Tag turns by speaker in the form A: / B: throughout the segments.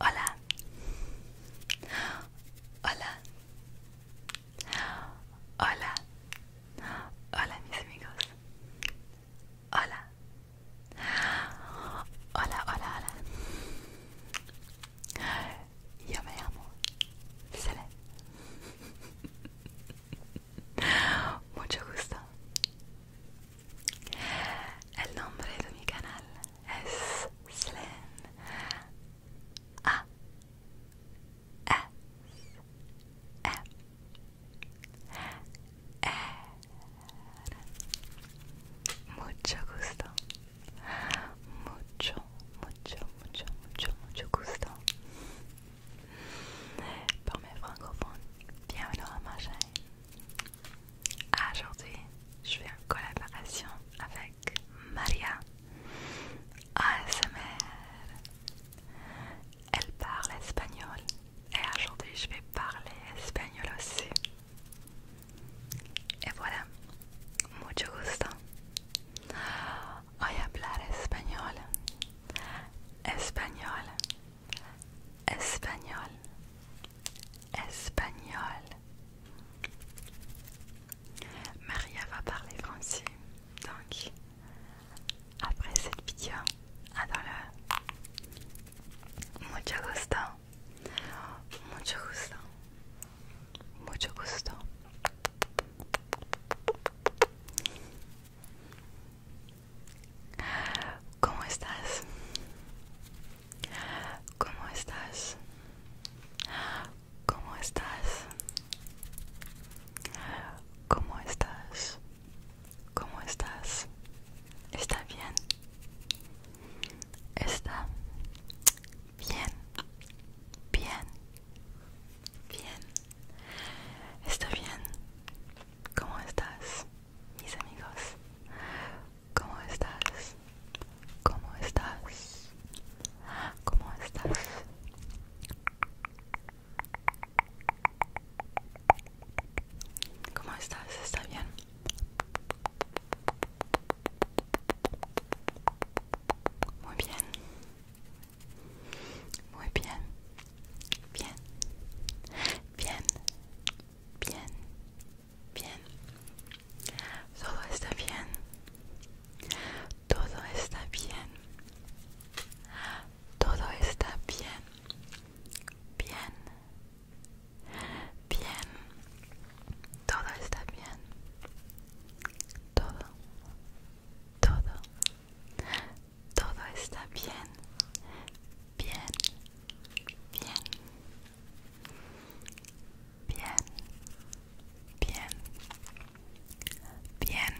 A: Hola. Hola. Hola. Hola mis amigos. Hola. Hola, hola, hola. Yo me llamo Mucho gusto. El nombre de mi canal es Slen A S M R. Mucho gusto. Mucho, mucho, mucho, mucho, mucho gusto. Pour mes francophones, bienvenue à ma chaîne. Aujourd'hui, je fais en collaboration avec Maria ASMR. Elle parle espagnol et aujourd'hui, je vais parler espagnol aussi. Et voilà, mucho gusto. Hoy hablar espagnol. Espagnol. Espagnol. espagnol. Maria va parler français, donc après cette vidéo, à dans le mucho gusto, mucho gusto, mucho gusto. ¿Cómo estás? ¿Cómo estás? ¿Cómo estás? ¿Cómo estás? ¿Cómo estás? ¿Está bien? ¿Está bien? Bien. Bien. Está bien. ¿Cómo estás, mis amigos? ¿Cómo estás? ¿Cómo estás? ¿Cómo estás? ¿Cómo estás? ¿Está bien? Muy bien. Muy bien, bien, bien, bien, bien. Todo está bien. Todo está bien. Todo está bien. Bien. Bien. Todo está bien. Todo todo, todo está bien, bien, bien, bien, bien, bien.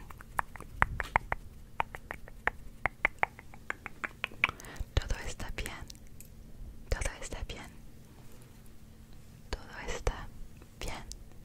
A: Todo está bien, todo está bien, todo está bien.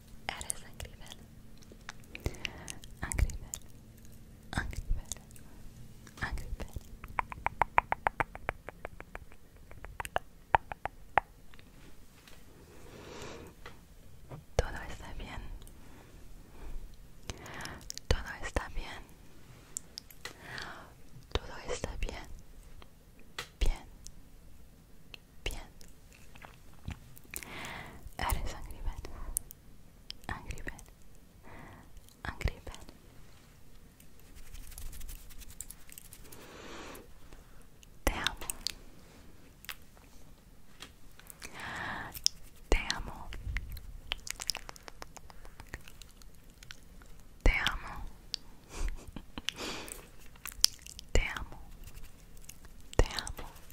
A: Eres increíble increíble increíble increíble Todo está bien Todo está bien Todo está bien Bien Bien Eres Angry Bird. Angry Bird. Angry Bird. Te amo. Te amo. Te amo. Te amo. Te amo.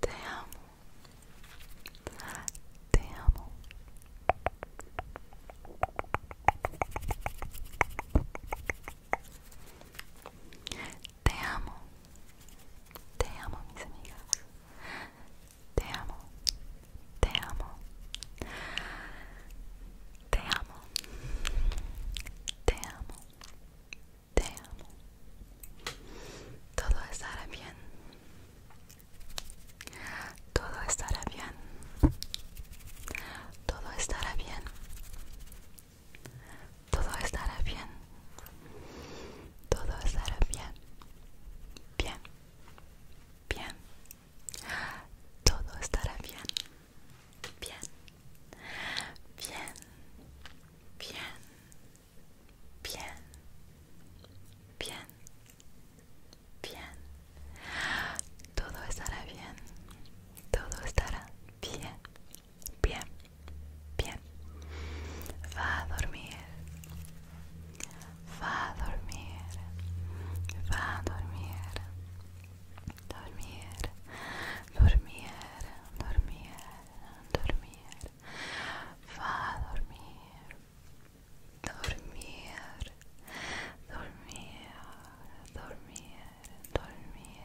A: Te amo. Te amo. Te amo. Te amo, mis amigas. Te amo. Te amo. Te amo. Te amo. Te amo. Todo estará bien. Todo estará bien. Todo estará bien. Todo estará bien. Todo estará bien. Bien. Bien. Todo estará bien. Bien. Bien. Bien bien, bien, bien. Todo estará bien, todo estará bien, bien, bien. Va a dormir, va a dormir, va a dormir, dormir, dormir, dormir, dormir va a dormir, dormir, dormir, dormir, dormir.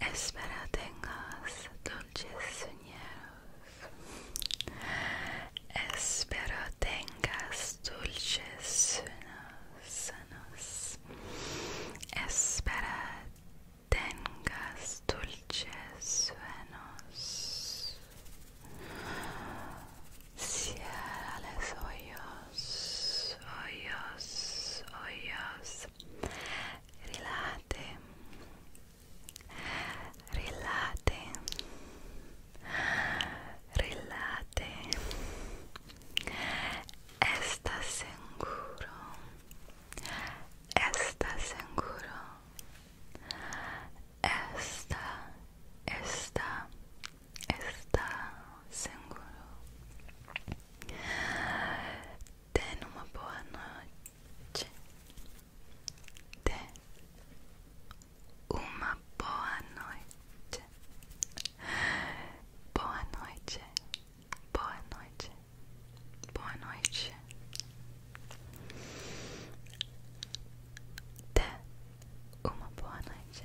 A: Espera tengas dulces sueños. Espero tengas dulces sueños. Espera tengas dulces sueños. Cierra los hoyos, hoyos, hoyos. relate, relate, relate. Estás seguro. Estás seguro. Esta, esta, esta seguro. Tenha uma boa noite. Tenha uma boa noite. Boa noite. Boa noite. Boa noite. Até uma boa noite.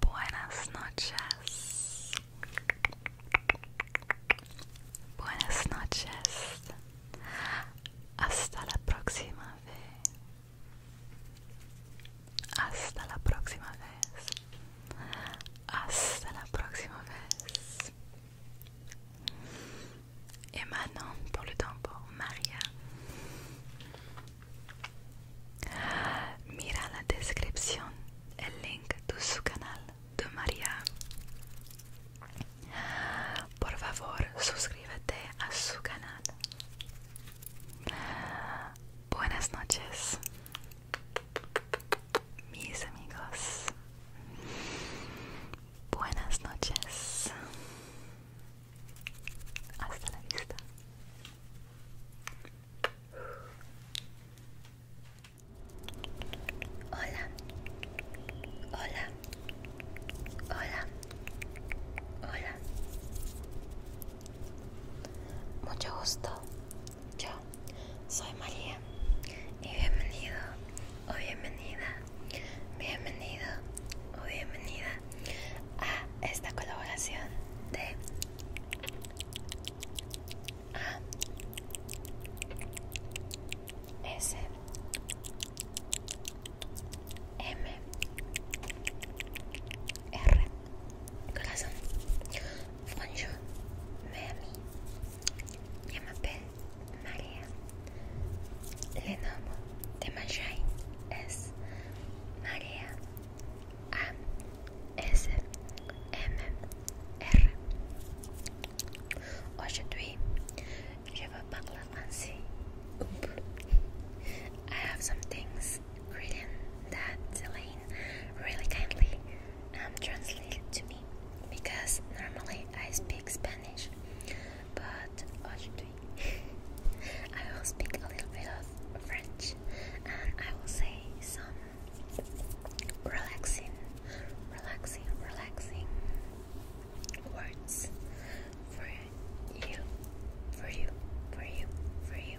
A: Buenas noches. Buenas noches. Hasta la próxima vez. Hasta la próxima vez. Hasta la próxima vez. Et maintenant, pour le temps pour Mira la descripción, el link de su canal de María. Por favor, suscríbete a su canal. Buenas noches, mis amigos. Buenas noches. Hasta la vista.
B: Hola. Hola. Hola. Hola. Mucho gusto. Yo soy María. Y bienvenido o bienvenida. Bienvenido o bienvenida a esta colaboración de Ah. S M R Corazón Bonjour Miami Je Maria Le nom de Maria ASMR Aujourd'hui, je I have some things written that Elaine really kindly um, translated to me because normally I speak Spanish, but aujourd'hui I will speak a little bit of French and I will say some relaxing, relaxing, relaxing words for you, for you, for you, for you.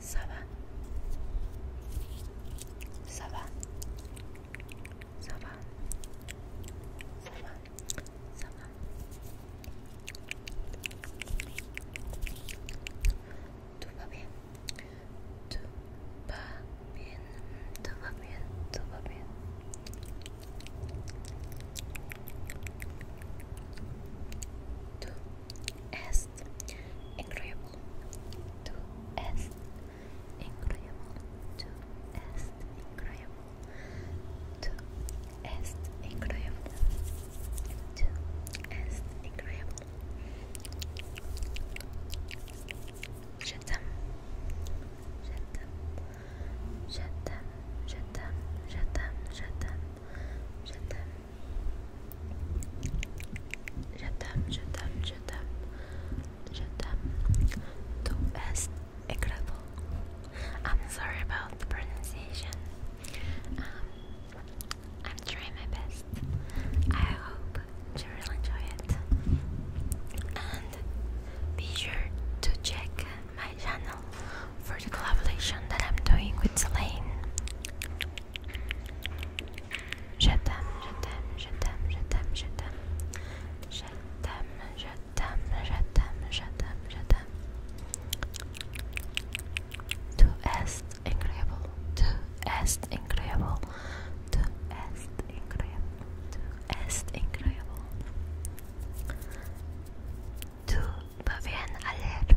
B: Saba. va Ça va Ça va Tout va bien Tout va bien Tout va bien Tout va bien Du es incredible to est incredible to est incredible to est incredible to est incredible je t'aime je t'aime je t'aime je Je t'aime, je t'aime, je t'aime, incredible. I'm sorry about the pronunciation. Um, I'm trying my best. I hope you really enjoy it. And be sure to check my channel for the collaboration that I'm doing with Selene. Je t'aime, je t'aime, je t'aime, je t'aime, je t'aime. Je t'aime, je t'aime, je t'aime, je t'aime, je t'aime. Tu es incroyable, tu es incroyable, tu es incroyable, tu es incroyable. Tu va bien ayer,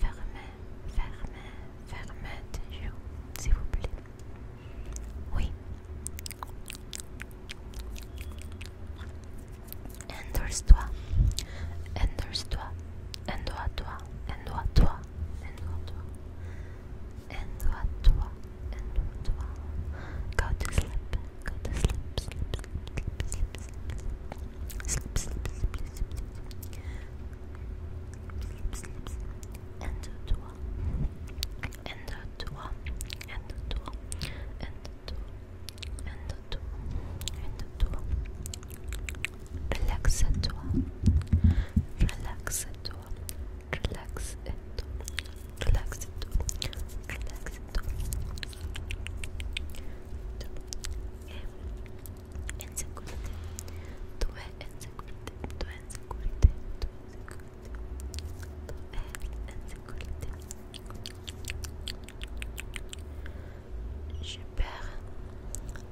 B: Fermez, fermez, fermez tes s'il vous plaît. Oui. Endors-toi, endors-toi, endors-toi, endors-toi, endors-toi, toi toi Go to sleep, and toi, and toi, and toi, and toi, and toi, and toi. Relaxe-toi, relaxe-toi, relaxe-toi, relaxe-toi, relaxe-toi. Et en sécurité. Tu es en sécurité. Tu es en sécurité. Tu es en sécurité. en J'espère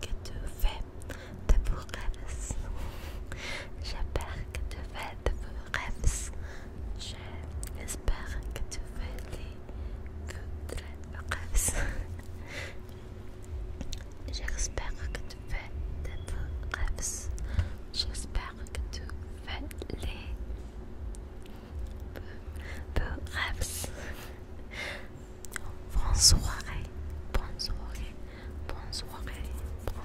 B: que tu fais de beaux rêves. J'espère que tu fais de beaux rêves. J'espère que tu fais des beaux rêves. J'espère que tu fais des rêves. J'espère que tu fais les peu, peu rêves. Bonne soirée, bonne soirée, bonne soirée, bonne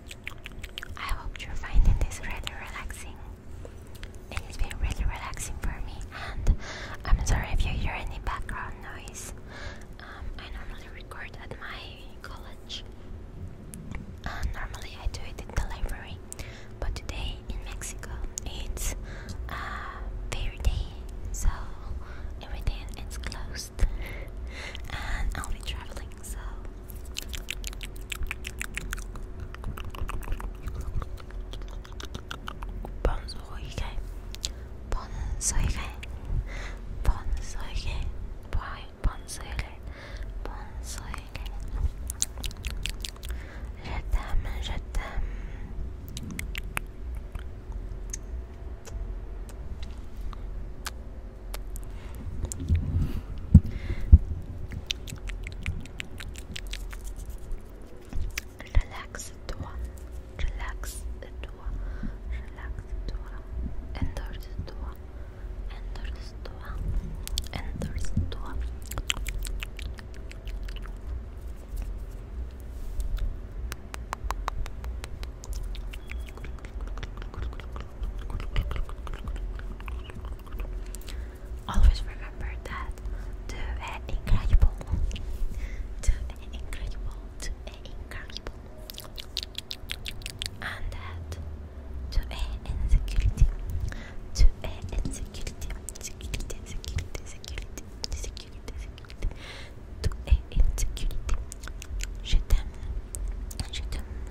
B: I hope you're finding this really relaxing. It has been really relaxing for me, and I'm sorry if you hear any background noise. Um, I normally record at my college, uh, normally I do it in the library, but today in Mexico it's a uh, day, so everything is closed, and I'll be traveling. So bonsoirée, bonsoirée, Je t'aime, je t'aime. Relaxe-toi, relaxe-toi, relaxe-toi, endors-toi, endors-toi, endors-toi. Always remember that to an incredible, to an incredible, to an incredible, and that to an insecurity, to an insecurity, security, security, security, security, security, to an insecurity. Je t'aime, je t'aime,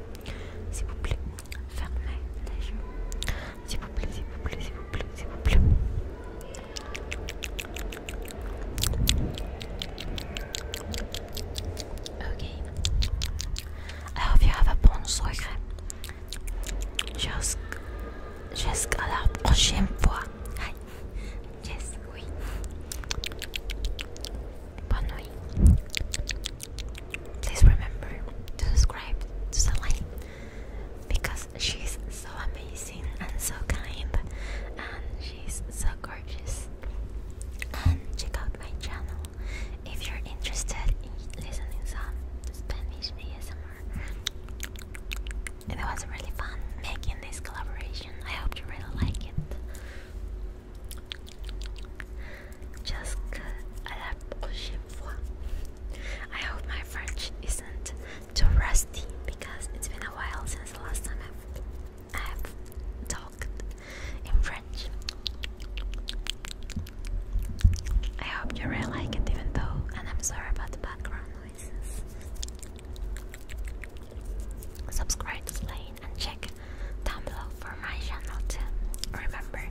B: S'il vous plaît, fermez les yeux. S'il vous plaît, s'il vous plaît, s'il vous plaît, s'il vous plaît. ok alors, hope you have a bonne soirée. Jusqu'à la prochaine fois. Aïe Yes, oui. Please remember to subscribe to Salai because she's so amazing and so kind and she's so gorgeous. And check out my channel if you're interested in listening some Spanish ASMR. It was really fun making this collaboration. I hope you really like it. Jusque à la prochaine fois. I hope my French isn't too rusty because it's been a while since the last time I've, I've talked in French. I hope you really like it, even though, and I'm sorry about the background noises. Subscribe to Slay and check down below for my channel too. Remember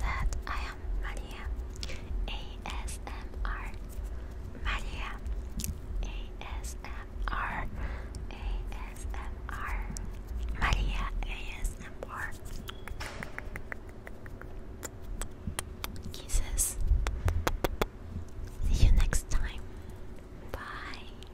B: that I am Maria ASMR Maria ASMR Maria ASMR Kisses. See you next time. Bye.